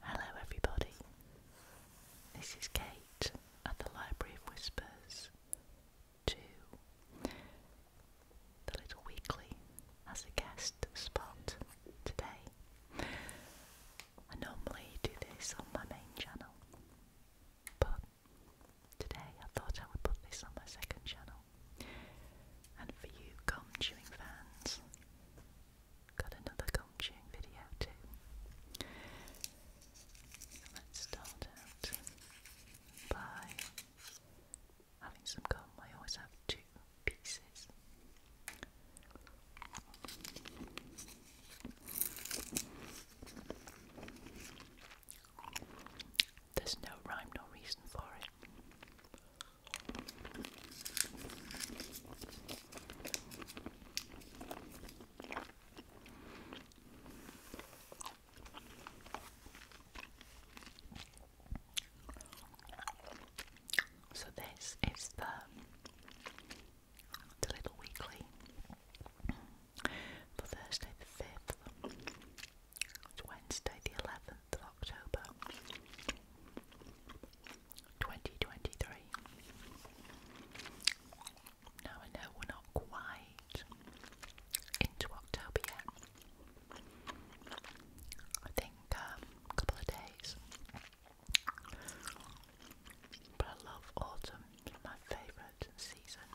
Hello, everybody. This is Kate at the Library of Whispers 2, the Little Weekly, as a guest spot today. I normally do this on my main channel, but Today I thought I would put this on my second channel. And for you gum chewing fans, got another gum chewing video too. Let's start out by having some gum. I always have two pieces. There's no rhyme, no reason for it. So this is the little weekly for Thursday the fifth. It's Wednesday, the 11th of October 2023. Now, I know we're not quite into October yet. I think um, a couple of days. But I love autumn, my favourite season.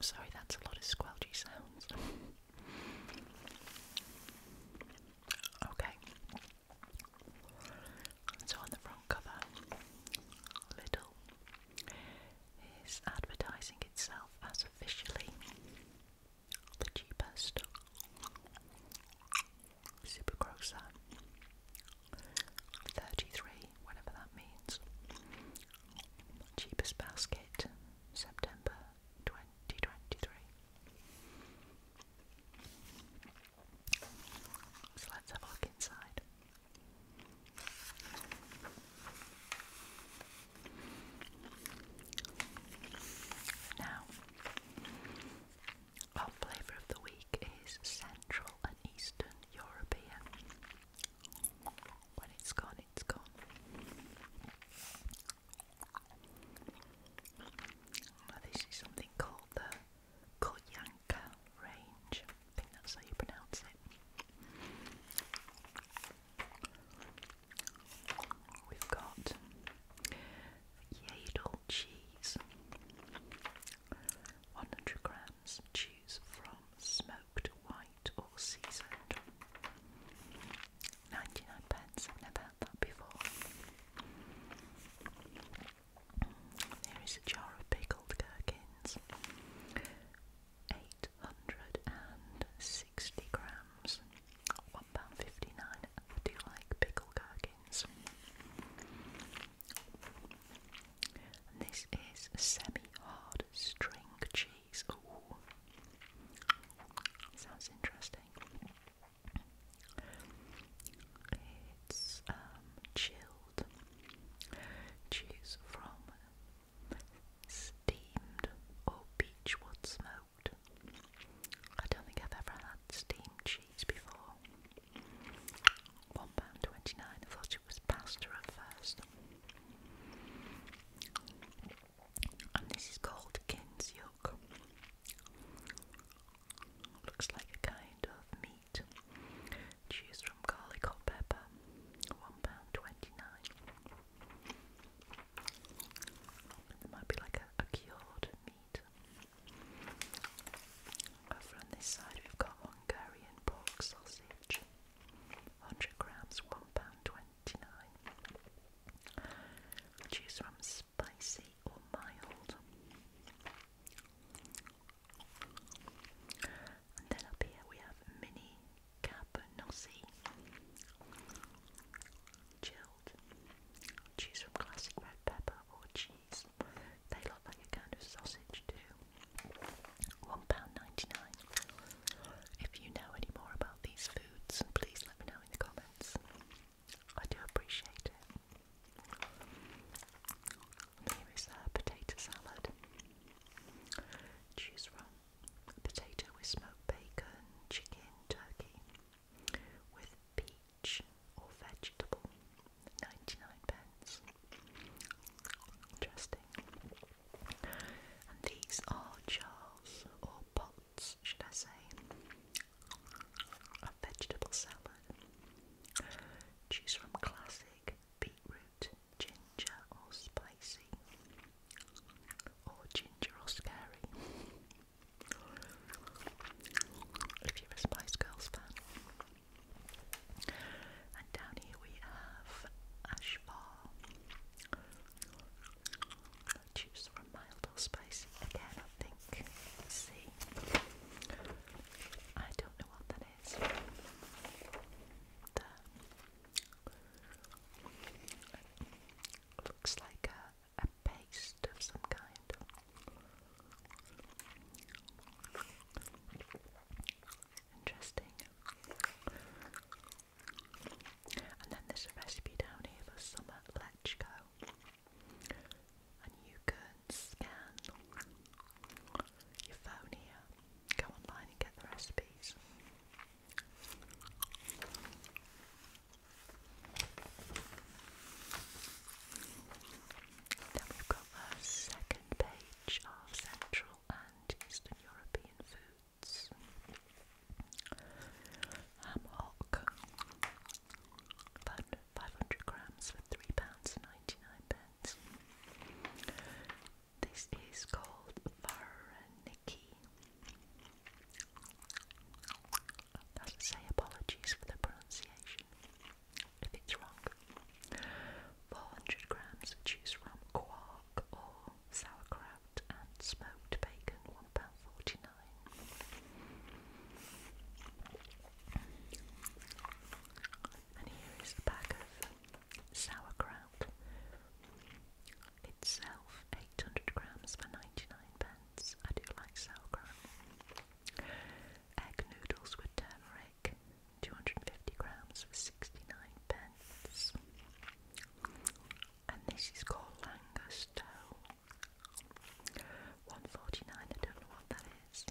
Sorry, that's a lot of squelchy sounds. okay. So on the front cover, Little is advertising itself as officially the cheapest supergrocer 33, whatever that means. Cheapest basket, September 2023. So let's have a look inside. Now, our flavour of the week is Central and Eastern European. When it's gone, it's gone. this is something called the Koyanka range. I think that's how you pronounce it. We've got Yadel cheese, 100 grams hams, choose from smoked, white, or seasoned. 99 pence, I've never had that before. There is a jar of pickled gherkins. 860 grams, £1.59. I do like pickled gherkins this is semi-hard string cheese. Sounds interesting. It's um, chilled cheese from steamed or beechwood smoked. I don't think I've ever had steamed cheese before. One pound twenty nine. I thought it was pasta at first. And this is called kin's Looks like a kind of meat. Choose from garlic or pepper. One pound twenty nine. There might be like a cured meat. Over on this side, we've got Hungarian pork sausage, 100 grams, £1.29. Choose from spicy or mild. And then up here we have mini cabanossi, chilled. Choose from classic red pepper or cheese. They look like a kind of sausage too. £1.99. If you know any more about these foods, please let me know in the comments. I do appreciate it. Here is a potato salad. Choose from potato with smoked bacon, chicken, turkey, with pea or vegetable, 99 pence. Interesting. And these are jars or pots, should I say, of vegetable salad. Choose from classic, beetroot, ginger or spicy, or ginger or scary. If you're a Spice Girls fan, and down here we have ash bar. Choose from mild or spicy. Again, I think. Let's see. I don't know what that is. There. Looks like a, a paste of some kind. Interesting. And then there's a recipe down here for summer lechko. And you can scan your phone here, go online and get the recipes. Then we've got cover second page of Central and Eastern European foods. Ham hock, 500 grams for £3.99. pence. This is called Vareniki. say, apologies for the pronunciation if it's wrong. 400 grams, choose from quark or sauerkraut and smoked bacon, £1.49. And here is the bag of sauerkraut. Itself 800 grams for 99 pence. I do like sauerkraut. Egg noodles with turmeric, 250 grams for 69 pence. And this is called Langosto. 149, I don't know what that is.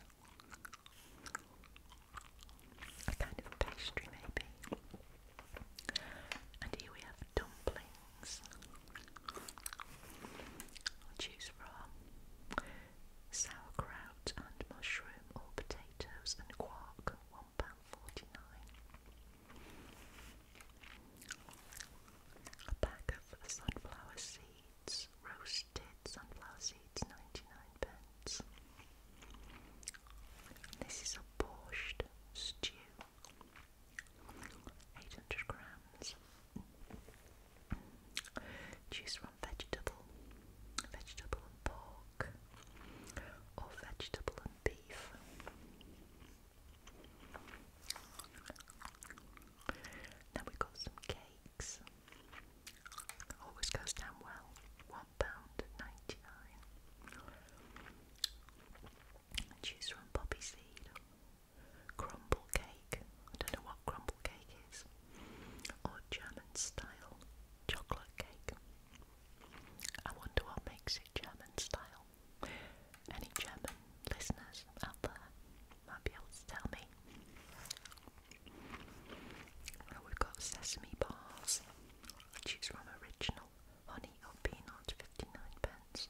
A kind of pastry maybe. And here we have dumplings. Choose is raw. Sauerkraut and mushroom or potatoes and quark, £1.49. A pack of sunflower seeds, roasted sunflower seeds, 99 pence. This is a borscht stew, 800 grams, Choose from vegetable, vegetable and pork, or vegetable and beef. Now we got some cakes. Always goes down well. One pound ninety nine. Choose from poppy seed. Crumble cake. I don't know what crumble cake or German style chocolate cake. I wonder what makes it German style. Any German listeners out there might be able to tell me. we've got sesame bars, which from original honey or peanut, 59 pence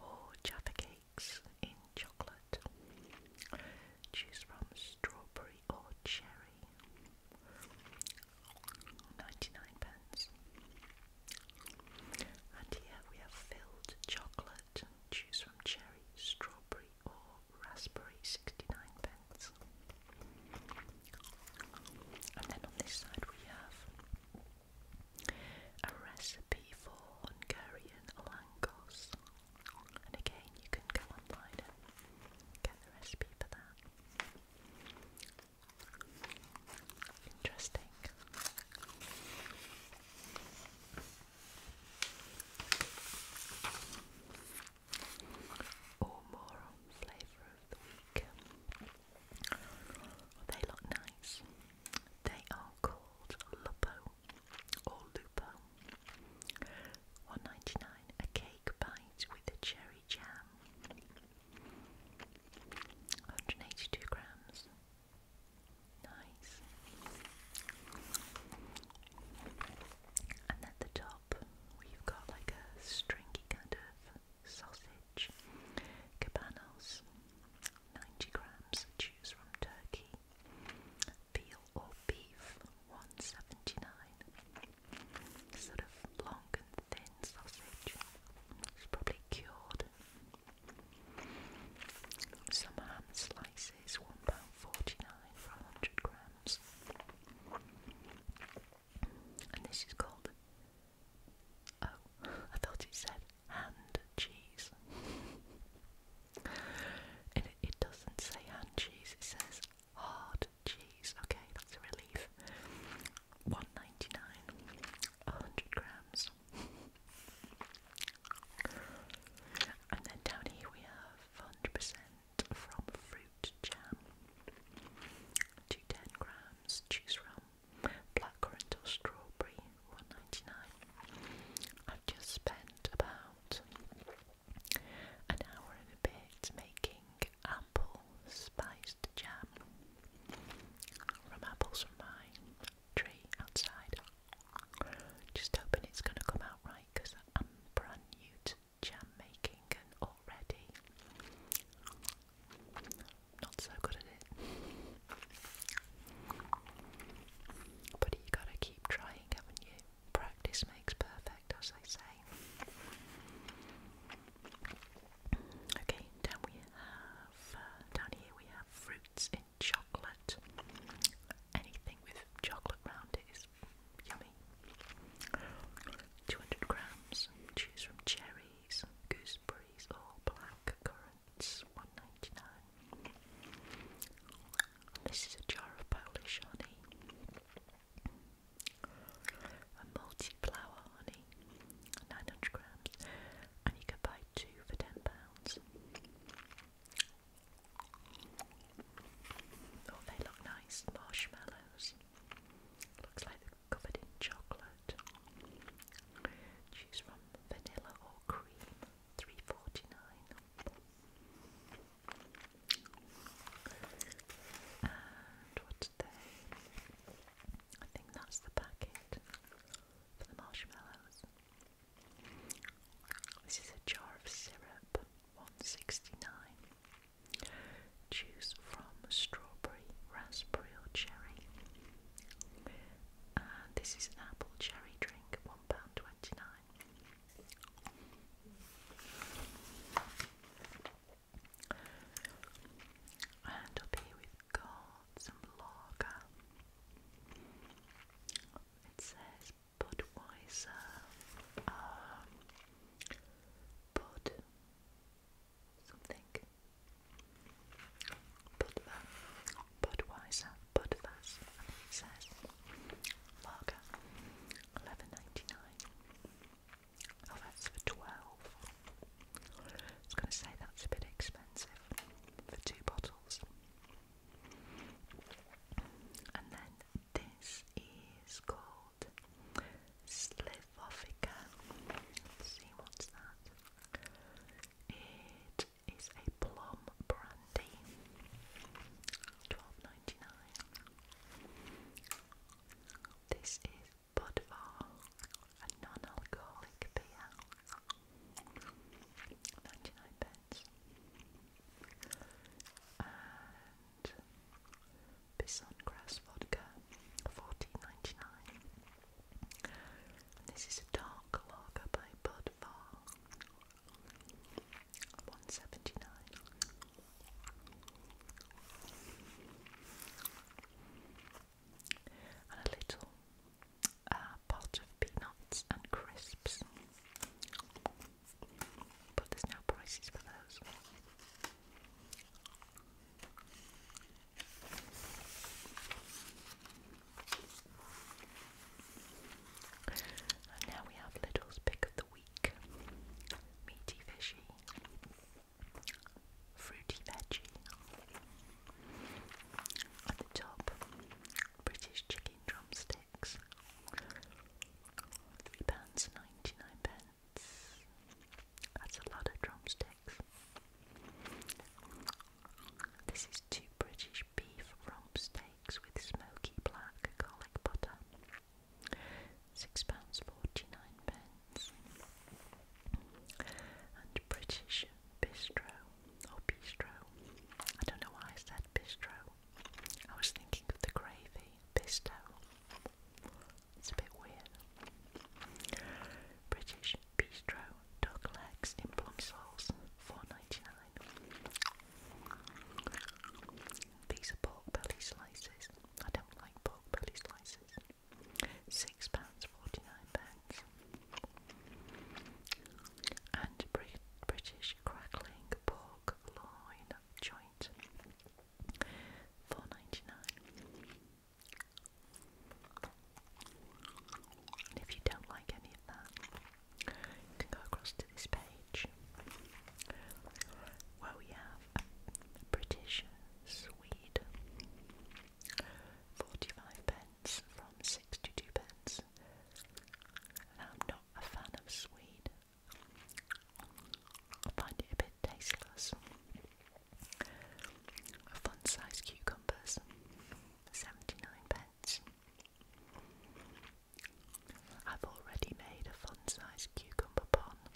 or Jaffa cakes in chocolate. Choose from strawberry or cherry. 99 pence. And here we have filled chocolate. Choose from cherry, strawberry, or raspberry. 69 pence. And then on this side we have a recipe for Hungarian langos, and again you can go online and get the recipe for that. Interesting. Or more on flavour of the week. they look nice. They are called Lupo or Lupo. One ninety nine, a cake bite with a cherry jam. 182 grams. Nice. And at the top, we've got like a stringy kind of sausage. Cabanos, 90 grams, choose from turkey, veal or beef, 179. Sort of long and thin sausage. It's probably cured. Some ham slices, £1.49 for 100 grams. And this is called. Oh, I thought you said hand cheese. it, it doesn't say hand cheese, it says hard cheese. Okay, that's a relief. One ninety nine, a hundred grams. and then down here we have hundred percent from fruit jam. Two ten grams. Choose from blackcurrant or strawberry, one i I've just spent about an hour and a bit making apple spiced jam from apples from my tree outside. Just hoping it's going to come out right because I'm brand new to jam making and already not so good at it. But you gotta keep trying, haven't you? Practice makes perfect, as they say. Okay, down we have uh, down here we have fruits in chocolate. Anything with chocolate round it is yummy. 200 grams. Choose from cherries, gooseberries, or black currant carats, one ninety nine. This is a jar of Polish honey, a multi-flower honey, nine hundred grams, and you can buy two for ten pounds. Oh, they look nice, marshmallows. Looks like they're covered in chocolate. Choose from vanilla or cream, three forty nine. And what did I think that's the packet for the marshmallows. This is a jar of syrup, one sixty nine. Juice from strawberry, raspberry, or cherry and this is an apple cherry drink, £1.29. And up here we've got some lager. It says Budweiser, um, Bud something, Budva, Budweiser, Budvas, says Lager, eleven ninety nine. Oh, that's for twelve. I was going to say that's a bit expensive for two bottles. And then this is called Slivovica. Let's see what's that. It is a plum brandy. 12 This is Budvar, a non-alcoholic beer. 99 pence. And Bison Grass Vodka, 14 this is a dark lager by Budvar, 179. And a little uh, pot of peanuts and crisps. But there's no prices for those. And now we have Little's pick of the week meaty fishy, fruity veggie. At the top, British chicken drumsticks, £3.99. That's a lot of drumsticks. This is two British beef rump steaks with smoky black garlic butter. Six pounds forty-nine pence. And British bistro or bistro. I don't know why I said bistro. I was thinking of the gravy bistro. It's a bit weird. British Bistro Duck Legs in Plum Sauce, four ninety nine. dollars 99 These are pork belly slices. I don't like pork belly slices. Six pounds forty-nine pence. And British crackling pork loin joint, four ninety-nine. And if you don't like any of that, you can go across to this page where we have British Swede, 45 pence from 62 pence. I'm not a fan of Swede, I find it a bit tasteless. Fun sized cucumbers, 79 pence. I've already made a fun sized cucumber pond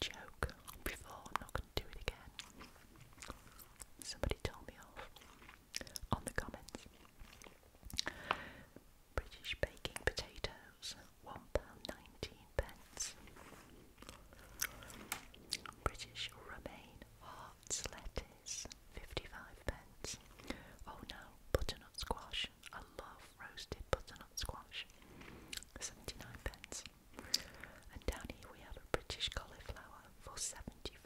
joke before, I'm not going to do it again. Somebody told me off on the comments. British baking potatoes, £1.19. British romaine hearts lettuce, 55 pence. Oh no, butternut squash. I love roasted butternut squash, 79 pence. And down here we have a British cauliflower for 75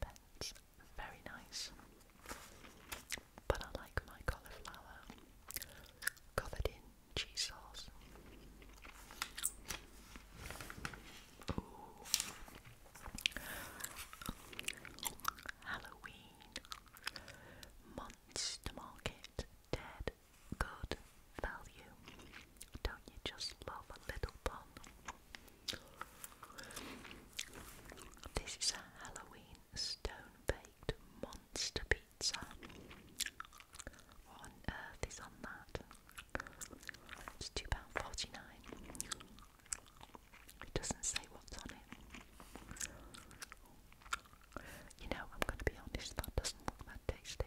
pence. Very nice. But I like my cauliflower covered in cheese sauce. Halloween Monster Market Dead Good Value. Don't you just love a little pun? This is a Halloween stone baked monster pizza. What on earth is on that? It's £2.49. It doesn't say what's on it. You know, I'm going to be honest, that doesn't look that tasty.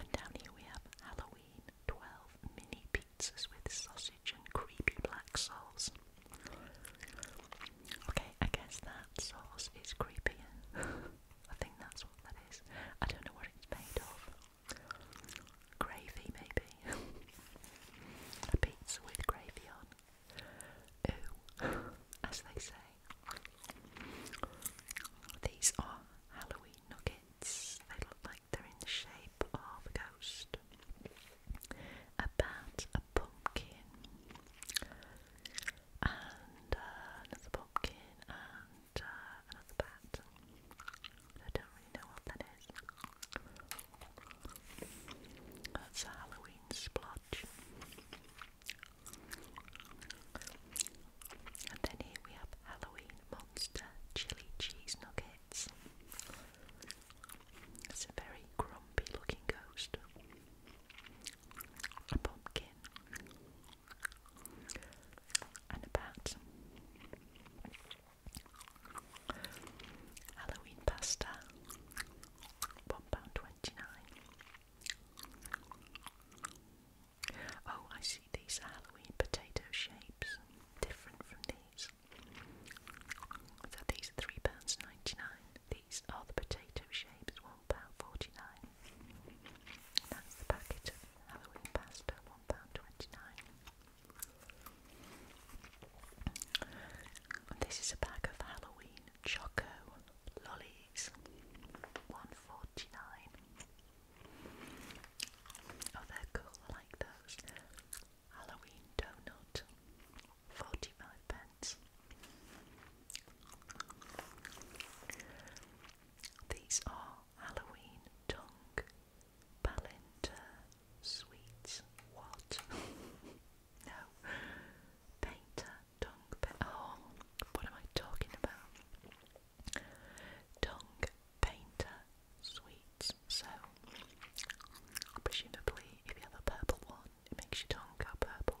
And down here we have Halloween 12 mini pizzas with sausage and creepy black sauce. Okay, I guess that sauce is creepy. I think that's what that is. I don't know what it's made of. Gravy, maybe. A pizza with gravy on. Ooh, as they say. These are Halloween nuggets. They look like they're in the shape of a ghost. About a pumpkin and uh, another pumpkin, and uh, another bat. I don't really know what that is. That's a Halloween splotch. And then here we have Halloween Monster Chili Cheese Nuggets. It's a very grumpy looking ghost a pumpkin, and a bat. Halloween pasta, £1.29. Oh, I see these Halloween potato shapes, different from these. these are £3.99. These are the potato shapes £1.49. That's the packet of Halloween pasta, £1.29. This is a bag of Halloween choco lollies, £1.49. Oh, they're cool, I like those. Halloween donut, 45 pence. These are Halloween tongue, Palantir sweets. What? no, painter tongue. oh, what am I talking about? Tongue painter sweets. So, presumably, if you have a purple one, it makes your tongue go purple.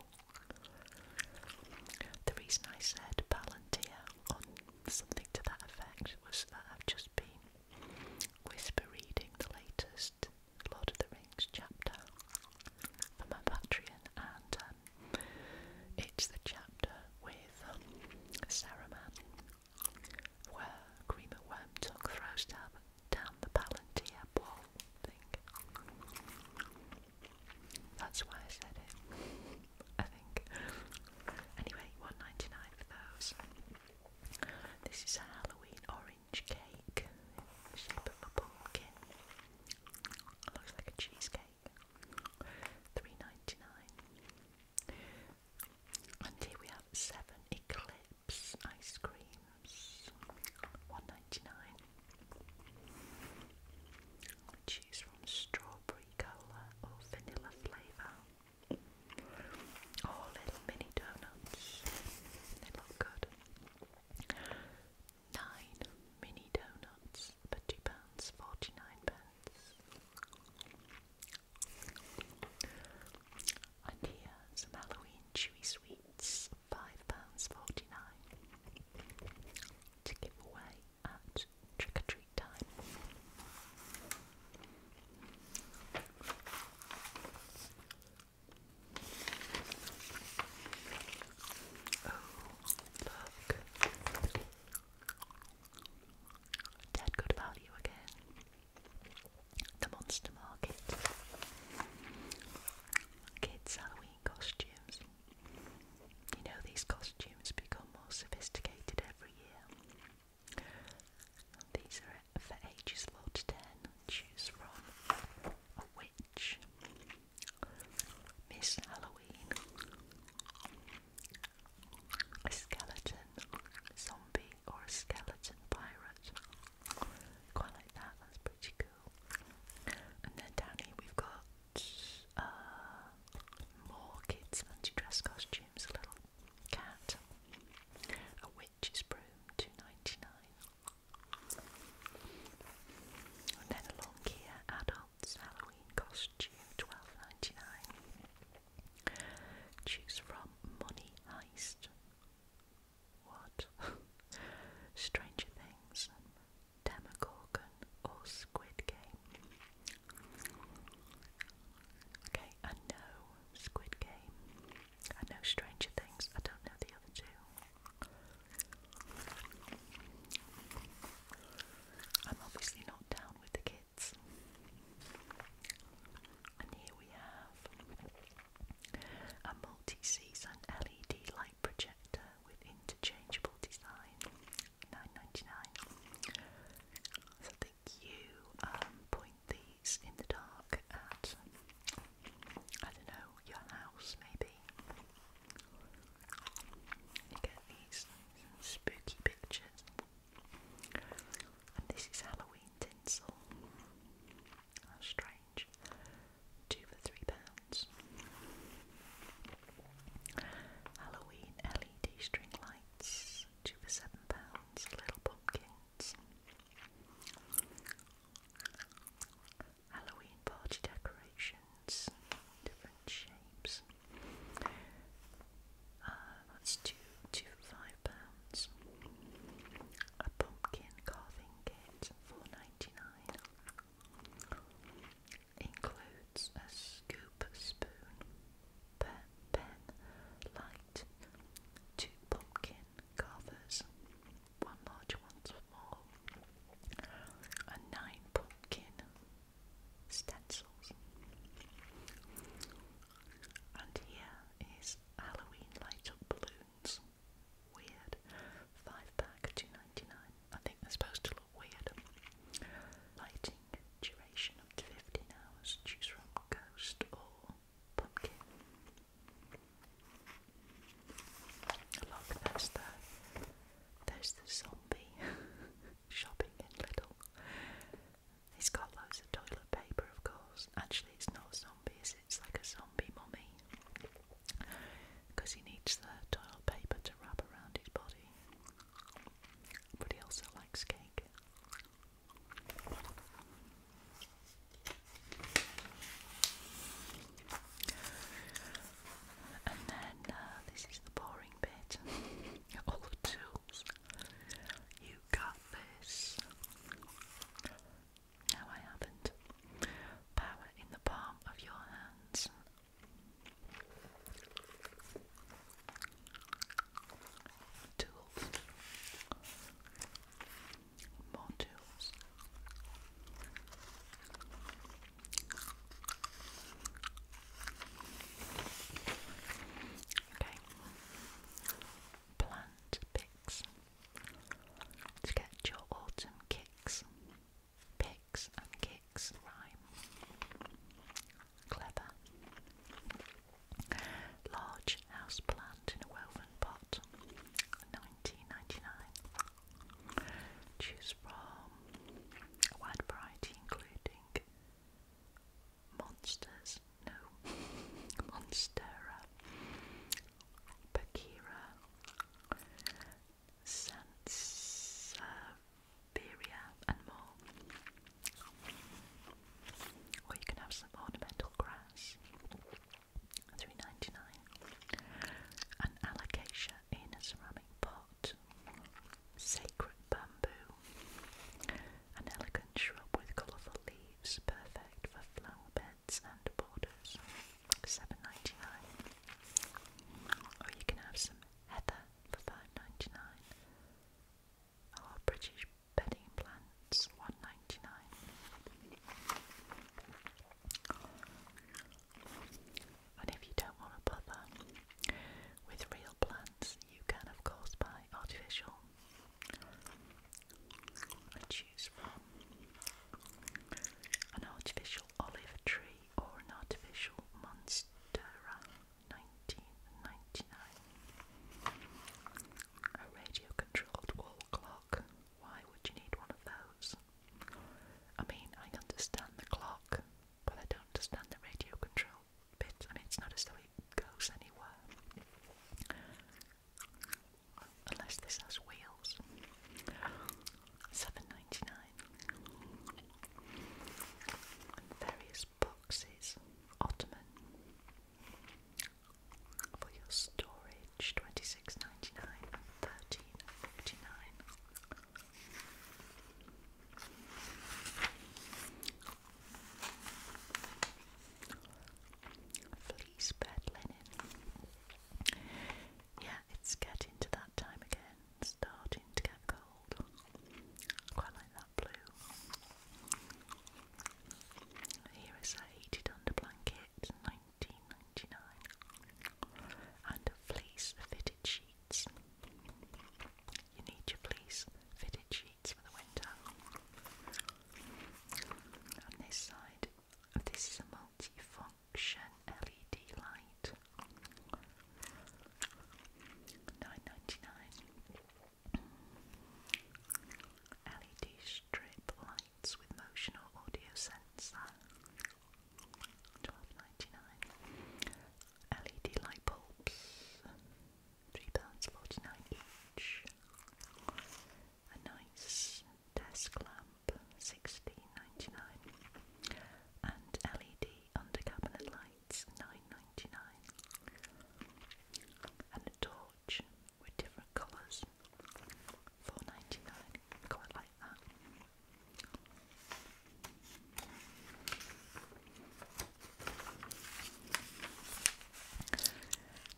The reason I said Palantir on something to that effect was I've just been whisper reading the latest Lord of the Rings chapter for my Patreon, and um, it's the chapter with um, Saruman where Grima Wormtongue throws down, down the Palantir ball thing. That's why I said it. I think. Anyway, one ninety nine for those. This is a Halloween orange cake in the shape of a pumpkin. looks like a cheesecake. Three ninety nine. And here we have seven Eclipse ice creams. One ninety nine. Choose from strawberry cola or vanilla flavour. Oh, little mini donuts. They look good. Nine mini donuts for two pounds forty nine pence. And here some Halloween chewy sweets, five pounds forty nine to give away at trick or treat time. Oh, look. Dead good value again. The Monster Market. Kids' Halloween costumes. You know, these costumes become more sophisticated every year. These are for ages 4 to 10. Choose from a witch, Miss Halloween, a skeleton zombie, or a skeleton pirate. Quite like that, that's pretty good. And then down here we've got uh, more kids' fancy dress costumes, a little cat, a witch's broom, two ninety nine. And then along here, adults Halloween costume, twelve ninety nine. Choose from Money Heist. What? Stranger Things, Demogorgon or Squid Game. Okay, I know Squid Game. I know Stranger Things. I don't know the other two. I'm obviously not down with the kids. And here we have a multi season LED light light projector with interchangeable design, 9 So think you um, point these in the dark at, I don't know, your house maybe. You get these spooky pictures. And this is Halloween tinsel. Australian two for three pounds. Halloween LED string lights, two for seven pounds. Little pumpkins. Halloween party decorations, different shapes. Uh, that's two, two for five pounds. A pumpkin carving kit, four ninety nine. Includes a scoop, spoon, pen, light, two pumpkin carvers, one large, one small, and nine pumpkin stencils. And here is Halloween light up balloons weird. Five pack, two ninety nine. I think they're supposed to look weird. Lighting duration up fifteen hours. Choose from ghost or pumpkin. Look, there's the there's the zombie shopping in Little. He's got loads of toilet paper, of course. Actually, it's not so zombies, it's like a zombie mummy because he needs the toilet paper to wrap around his body, but he also likes cake. And then uh, this is the boring bit. All the tools. You got this. No, I haven't. Power in the palm of your hands. Tools. More tools. Okay. Plant picks to get your autumn kicks. Picks and kicks rhyme. Clever. Large house plant in a woven pot. 1999. Choose from a wide variety including monsters, no, Monstera, Bakira, Sansevieria and more. Or you can have some ornamental grass. Three ninety nine. An alocasia in a ceramic pot. Sacred bamboo. An elegant shrub with colourful leaves, perfect for flower beds and borders, seven ninety nine. Or you can have some heather for five ninety nine. Or British bedding plants, one ninety nine. And if you don't want to bother with real plants, you can of course buy artificial an artificial olive tree or an artificial monstera 1999. A radio controlled wall clock. Why would you need one of those? I mean, I understand the clock, but I don't understand the radio control bit. I mean, it's not as though it goes anywhere. Unless this has wheels. Seven ninety nine. And various boxes. Ottoman. For your storage, twenty six ninety nine Fleece bed linen yeah, it's getting to that time again, starting to get cold. Quite like that blue. Here is a heated under blanket, 1999, and a fleece fitted sheets. You need your fleece fitted sheets for the winter. On this side this is a multi-function LED light. Nine ninety nine. LED strip lights with motion or audio sensor. Twelve ninety nine. LED light bulbs. Three a nice desk lamp, 16 and LED under cabinet lights, 9 and a torch with different colours, Quite like that.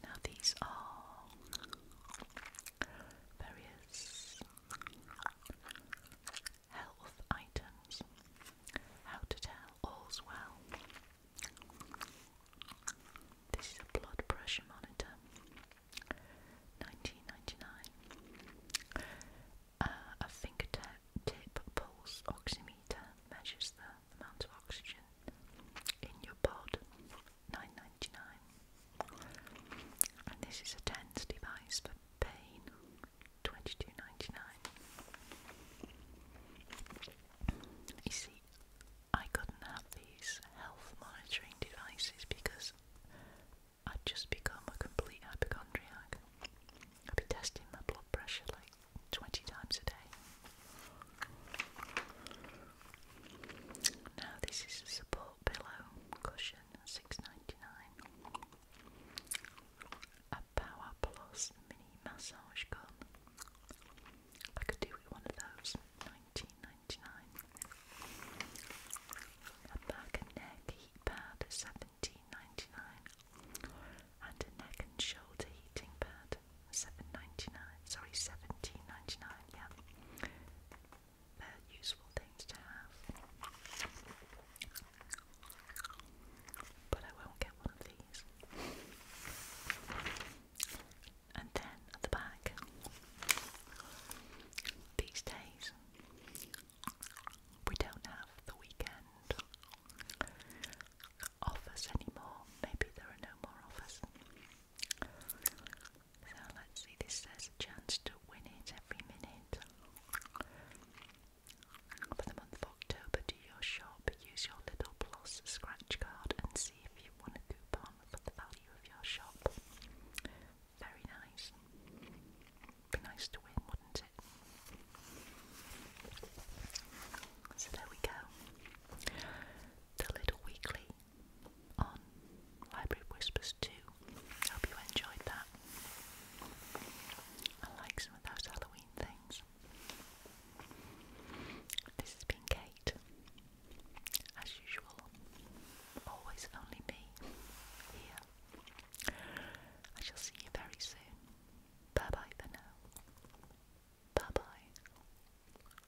Now, these are various health items. How to tell all's well. This is a blood pressure monitor. 1999. Uh, a fingertip pulse oximeter measures the amount of oxygen in your pod. 9 and this is a TENS device for pain 22 you see I couldn't have these health monitoring devices because I'd just become a complete hypochondriac I'd be testing my blood pressure like 20 times a day now this is a support pillow cushion, six ninety nine. A Power Plus mini massage gun. I could do with one of those, nineteen ninety nine. A back and neck heat pad, seventeen ninety nine, and a neck and shoulder heating pad, seven ninety nine. Sorry, seventeen ninety nine. Yeah, they're useful things to have. But I won't get one of these. And then at the back, these days, we don't have the weekend offers anymore. Maybe there are no more offers. So let's see, this says a chance to win it every minute. For the month of October, do your shop, use your Little Plus scratch card and see if you won a coupon for the value of your shop. Very nice. Be nice to win, wouldn't it? So there we go. The little weekly on Library Whispers 2. Hope you enjoyed that. I like some of those Halloween things. This has been Kate. As usual, always only me here. I shall see you very soon. Bye bye for now. Bye bye.